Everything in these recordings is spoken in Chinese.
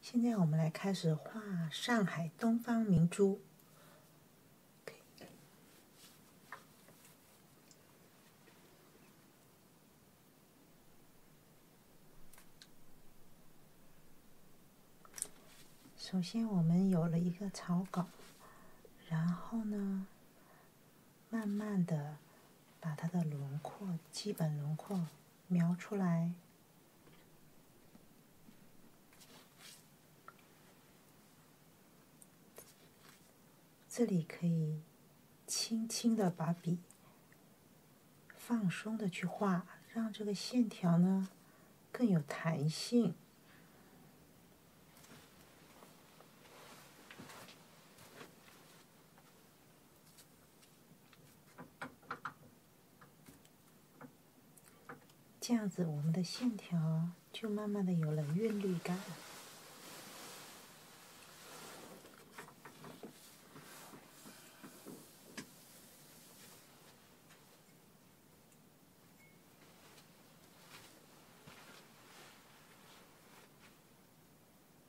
现在我们来开始画上海东方明珠。首先我们有了一个草稿，然后呢，慢慢的。把它的轮廓，基本轮廓描出来。这里可以轻轻的把笔放松的去画，让这个线条呢更有弹性。这样子，我们的线条就慢慢的有了韵律感。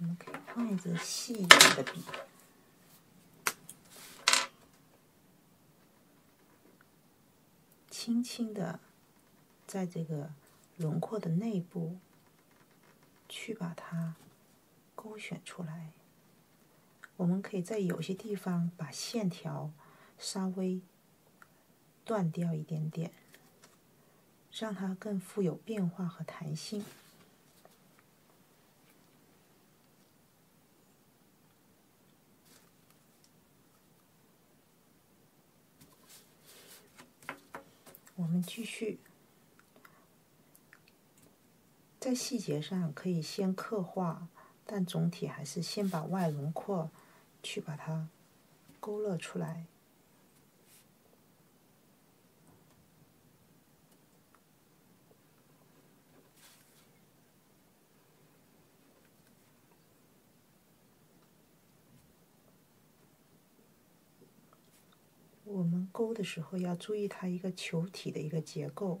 我们可以换一支细一点的笔，轻轻的，在这个轮廓的内部去把它勾选出来。我们可以在有些地方把线条稍微断掉一点点。让它更富有变化和弹性。我们继续，在细节上可以先刻画，但总体还是先把外轮廓去把它勾勒出来。我们勾的时候要注意它一个球体的一个结构。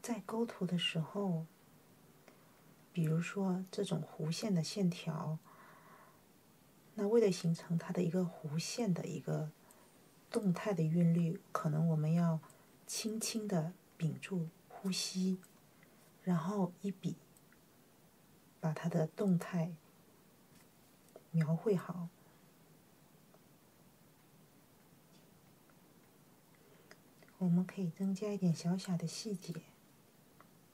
在勾图的时候，比如说这种弧线的线条，那为了形成它的一个弧线的一个动态的韵律，可能我们要轻轻的屏住呼吸，然后一笔把它的动态描绘好。我们可以增加一点小小的细节，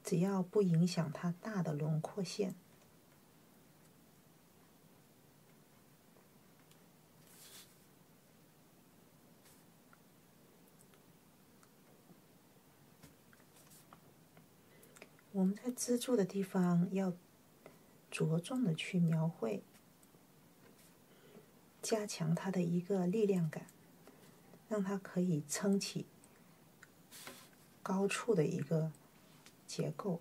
只要不影响它大的轮廓线。我们在支柱的地方要。着重的去描绘，加强它的一个力量感，让它可以撑起高处的一个结构。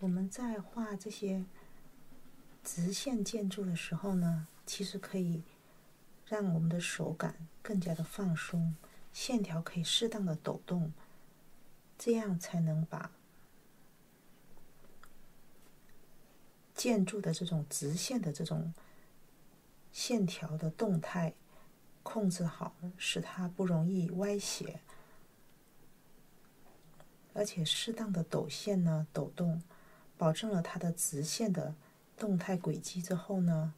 我们在画这些直线建筑的时候呢，其实可以让我们的手感更加的放松，线条可以适当的抖动，这样才能把。建筑的这种直线的这种线条的动态控制好，使它不容易歪斜，而且适当的抖线呢抖动，保证了它的直线的动态轨迹之后呢，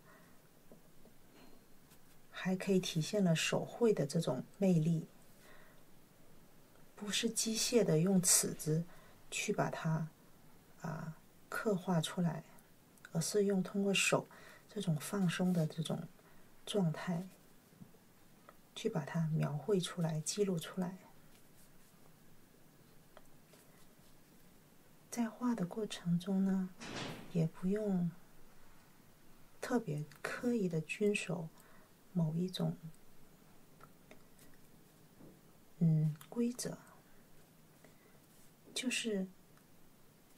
还可以体现了手绘的这种魅力，不是机械的用尺子去把它。啊，刻画出来，而是用通过手这种放松的这种状态去把它描绘出来、记录出来。在画的过程中呢，也不用特别刻意的遵守某一种。嗯，规则就是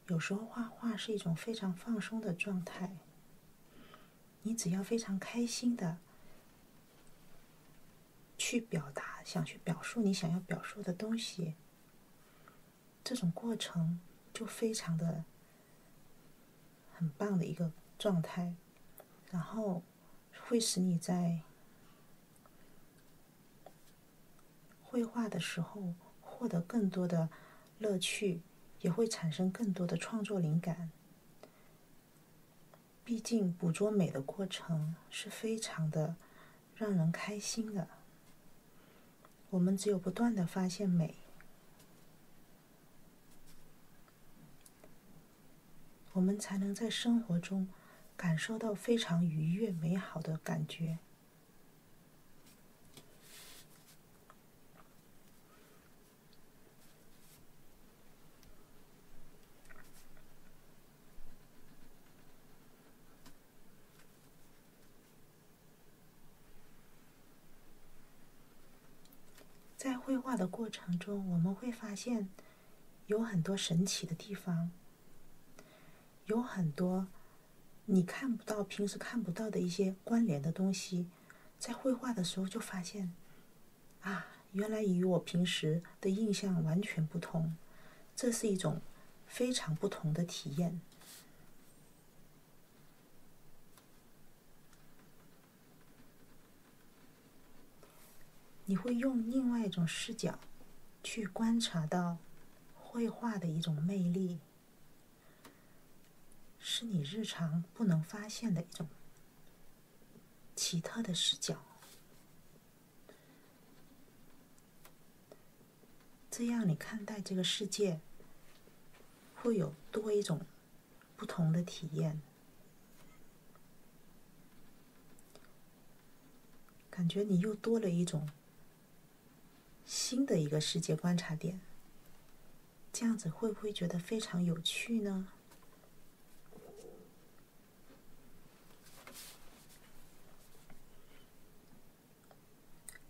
有时候画画是一种非常放松的状态。你只要非常开心的去表达，想去表述你想要表述的东西，这种过程就非常的很棒的一个状态。然后。会使你在绘画的时候获得更多的乐趣，也会产生更多的创作灵感。毕竟，捕捉美的过程是非常的让人开心的。我们只有不断的发现美。我们才能在生活中感受到非常愉悦、美好的感觉。在绘画的过程中，我们会发现。有很多神奇的地方，有很多你看不到、平时看不到的一些关联的东西，在绘画的时候就发现，啊，原来与我平时的印象完全不同，这是一种非常不同的体验。你会用另外一种视角去观察到绘画的一种魅力，是你日常不能发现的一种奇特的视角。这样，你看待这个世界会有多一种不同的体验。感觉你又多了一种新的一个世界观察点，这样子会不会觉得非常有趣呢？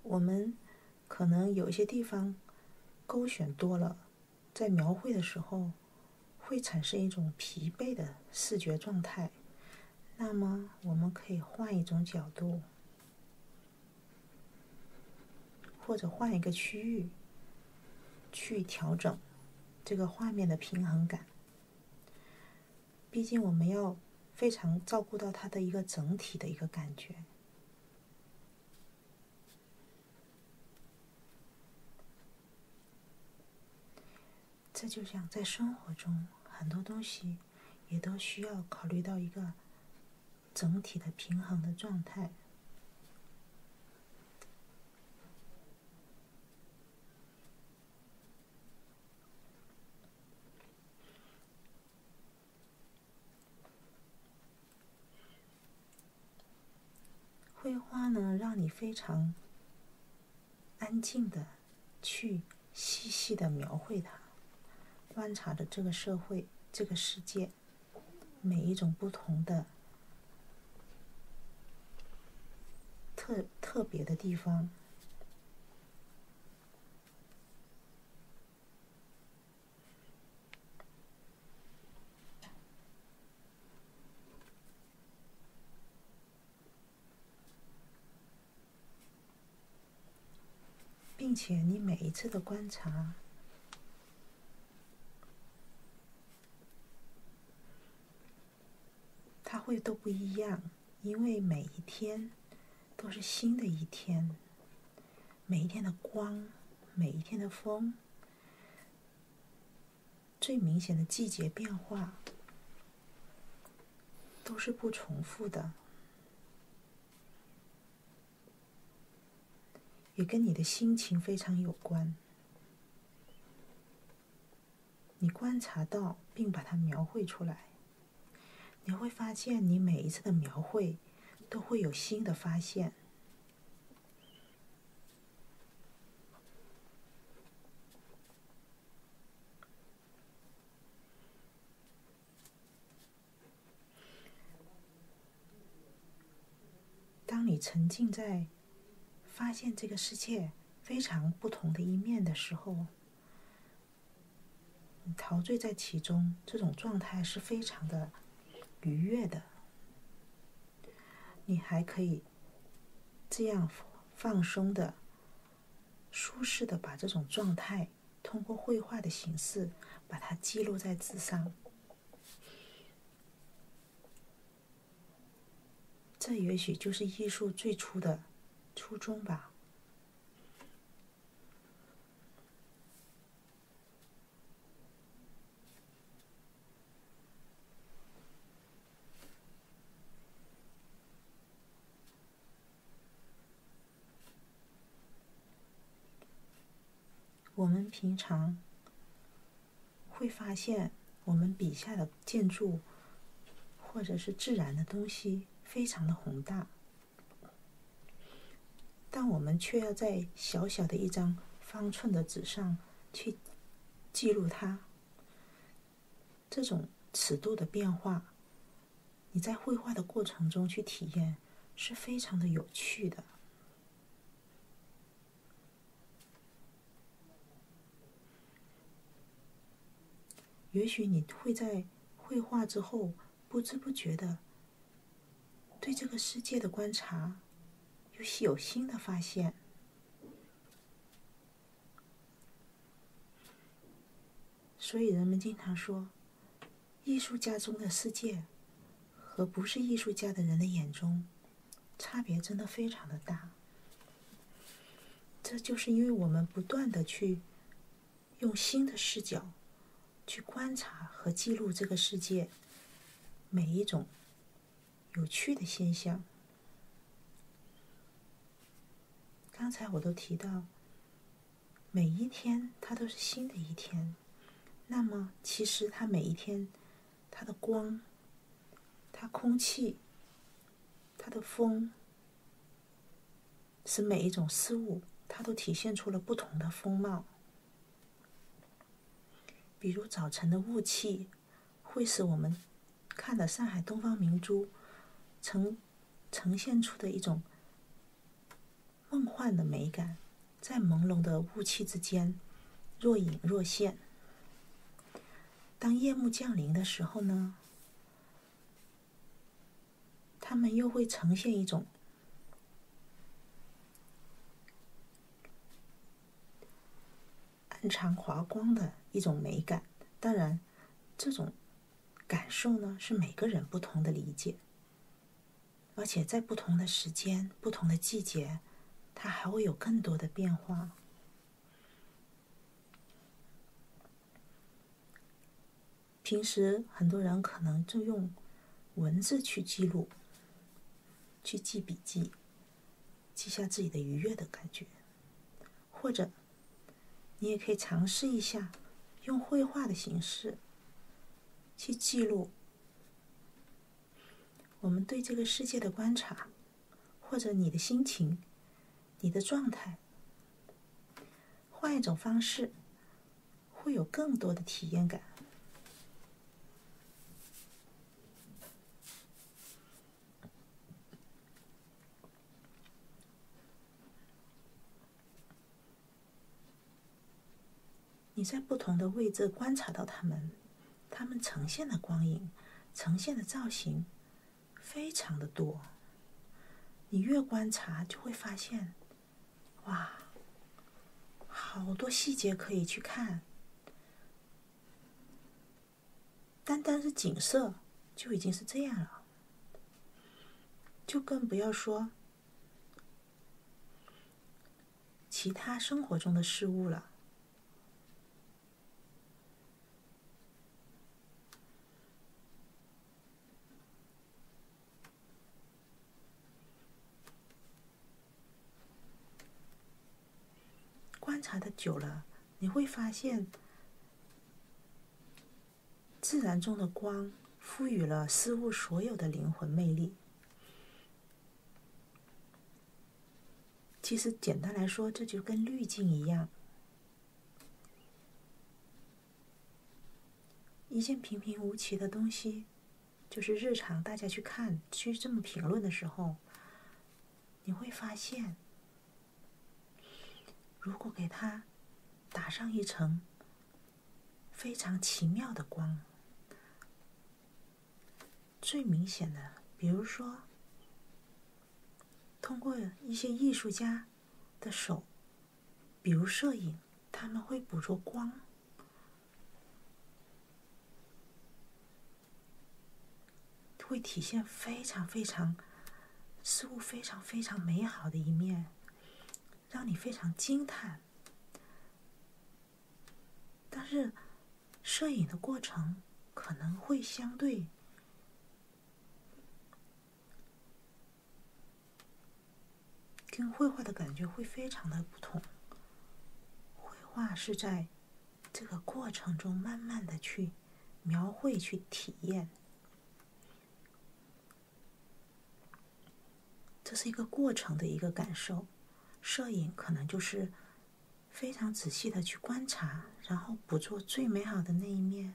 我们可能有一些地方勾选多了，在描绘的时候。会产生一种疲惫的视觉状态。那么，我们可以换一种角度，或者换一个区域，去调整这个画面的平衡感。毕竟，我们要非常照顾到它的一个整体的一个感觉。这就像在生活中，很多东西也都需要考虑到一个整体的平衡的状态。绘画呢，让你非常。安静的，去细细的描绘它，观察着这个社会、这个世界每一种不同的、特特别的地方。并且你每一次的观察，它会都不一样，因为每一天都是新的一天，每一天的光，每一天的风。最明显的季节变化都是不重复的，也跟你的心情非常有关。你观察到并把它描绘出来，你会发现你每一次的描绘都会有新的发现。当你沉浸在发现这个世界非常不同的一面的时候，你陶醉在其中，这种状态是非常的愉悦的。你还可以。这样放松的、舒适的把这种状态，通过绘画的形式把它记录在纸上，这也许就是艺术最初的初衷吧。我们平常会发现，我们笔下的建筑或者是自然的东西，非常的宏大，但我们却要在小小的一张方寸的纸上去记录它。这种尺度的变化，你在绘画的过程中去体验，是非常的有趣的。也许你会在绘画之后，不知不觉的对这个世界的观察，又会有新的发现。所以人们经常说，艺术家中的世界和不是艺术家的人的眼中，差别真的非常的大。这就是因为我们不断的去用新的视角去观察和记录这个世界每一种。有趣的现象。刚才我都提到，每一天它都是新的一天。那么，其实它每一天，它的光、它空气、它的风，使每一种事物，它都体现出了不同的风貌。比如早晨的雾气。会使我们看到上海东方明珠呈呈现出的一种梦幻的美感，在朦胧的雾气之间若隐若现。当夜幕降临的时候呢，他们又会呈现一种。暗藏华光的一种美感，当然，这种感受呢是每个人不同的理解，而且在不同的时间、不同的季节，它还会有更多的变化。平时很多人可能就用文字去记录、去记笔记，记下自己的愉悦的感觉。或者，你也可以尝试一下用绘画的形式去记录我们对这个世界的观察，或者你的心情、你的状态，换一种方式，会有更多的体验感。你在不同的位置观察到它们，它们呈现的光影、呈现的造型非常的多。你越观察，就会发现，哇，好多细节可以去看。单单是景色就已经是这样了，就更不要说其他生活中的事物了。观察的久了。你会发现，自然中的光赋予了事物所有的灵魂魅力。其实，简单来说，这就跟滤镜一样。一件平平无奇的东西，就是日常大家去看、去这么评论的时候，你会发现。如果给它打上一层非常奇妙的光，最明显的，比如说，通过一些艺术家的手，比如摄影，他们会捕捉光。会体现非常非常事物非常非常美好的一面，让你非常惊叹。但是，摄影的过程可能会相对跟绘画的感觉会非常的不同。绘画是在。这个过程中，慢慢的去描绘、去体验，这是一个过程的一个感受。摄影可能就是非常仔细的去观察，然后捕捉最美好的那一面。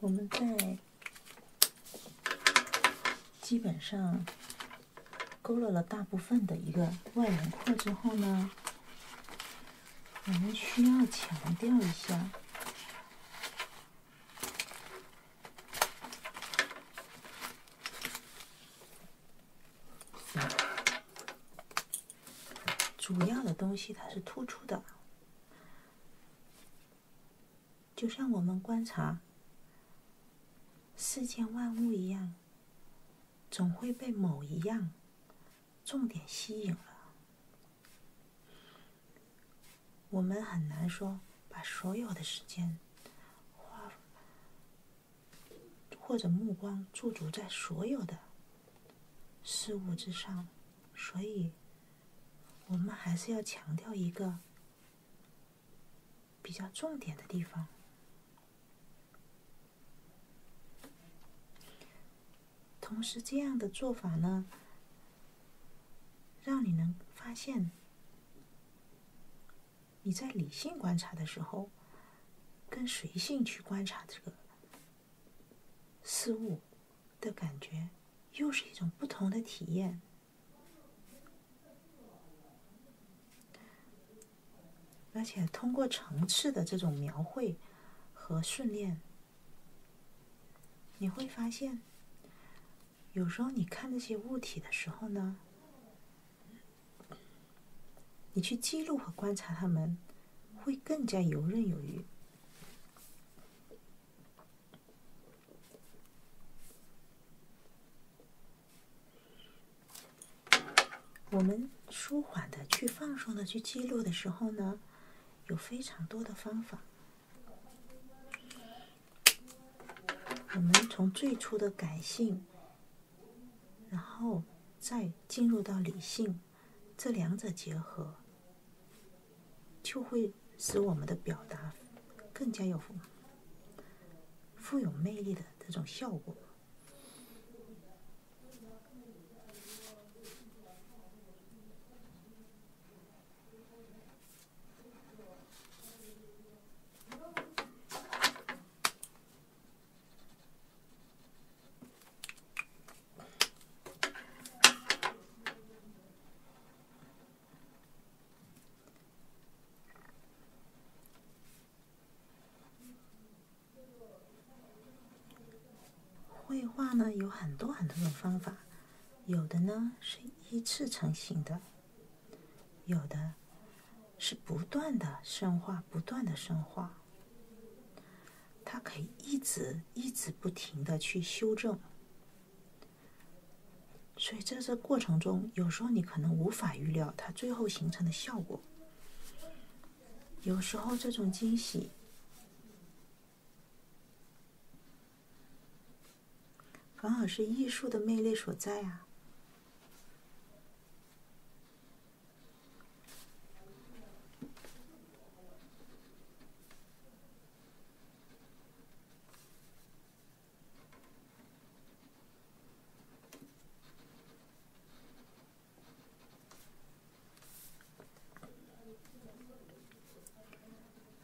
我们在基本上勾勒了大部分的一个外轮廓之后呢，我们需要强调一下。主要的东西它是突出的，就像我们观察世间万物一样，总会被某一样重点吸引了。我们很难说把所有的时间花。或者目光驻足在所有的事物之上，所以，我们还是要强调一个比较重点的地方。同时，这样的做法呢，让你能发现。你在理性观察的时候，跟随性去观察这个事物的感觉，又是一种不同的体验。而且通过层次的这种描绘和训练，你会发现，有时候你看这些物体的时候呢。你去记录和观察他们，会更加游刃有余。我们舒缓的去放松的去记录的时候呢，有非常多的方法。我们从最初的感性。然后再进入到理性，这两者结合，就会使我们的表达更加有富有魅力的这种效果。绘画呢有很多很多种方法，有的呢是一次成型的。有的是不断的深化，不断的深化，它可以一直一直不停的去修正。所以在这过程中，有时候你可能无法预料它最后形成的效果。有时候这种惊喜，反而是艺术的魅力所在啊。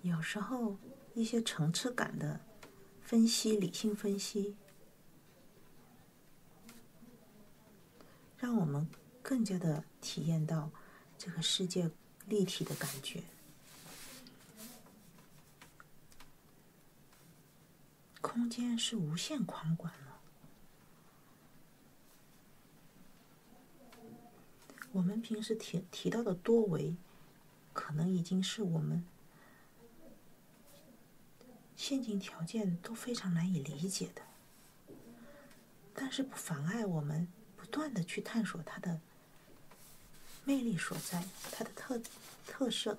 有时候，一些层次感的分析，理性分析。让我们更加的体验到这个世界立体的感觉，空间是无限宽广的。我们平时提提到的多维，可能已经是我们。现今条件都非常难以理解的，但是不妨碍我们不断的去探索它的魅力所在，它的特特色。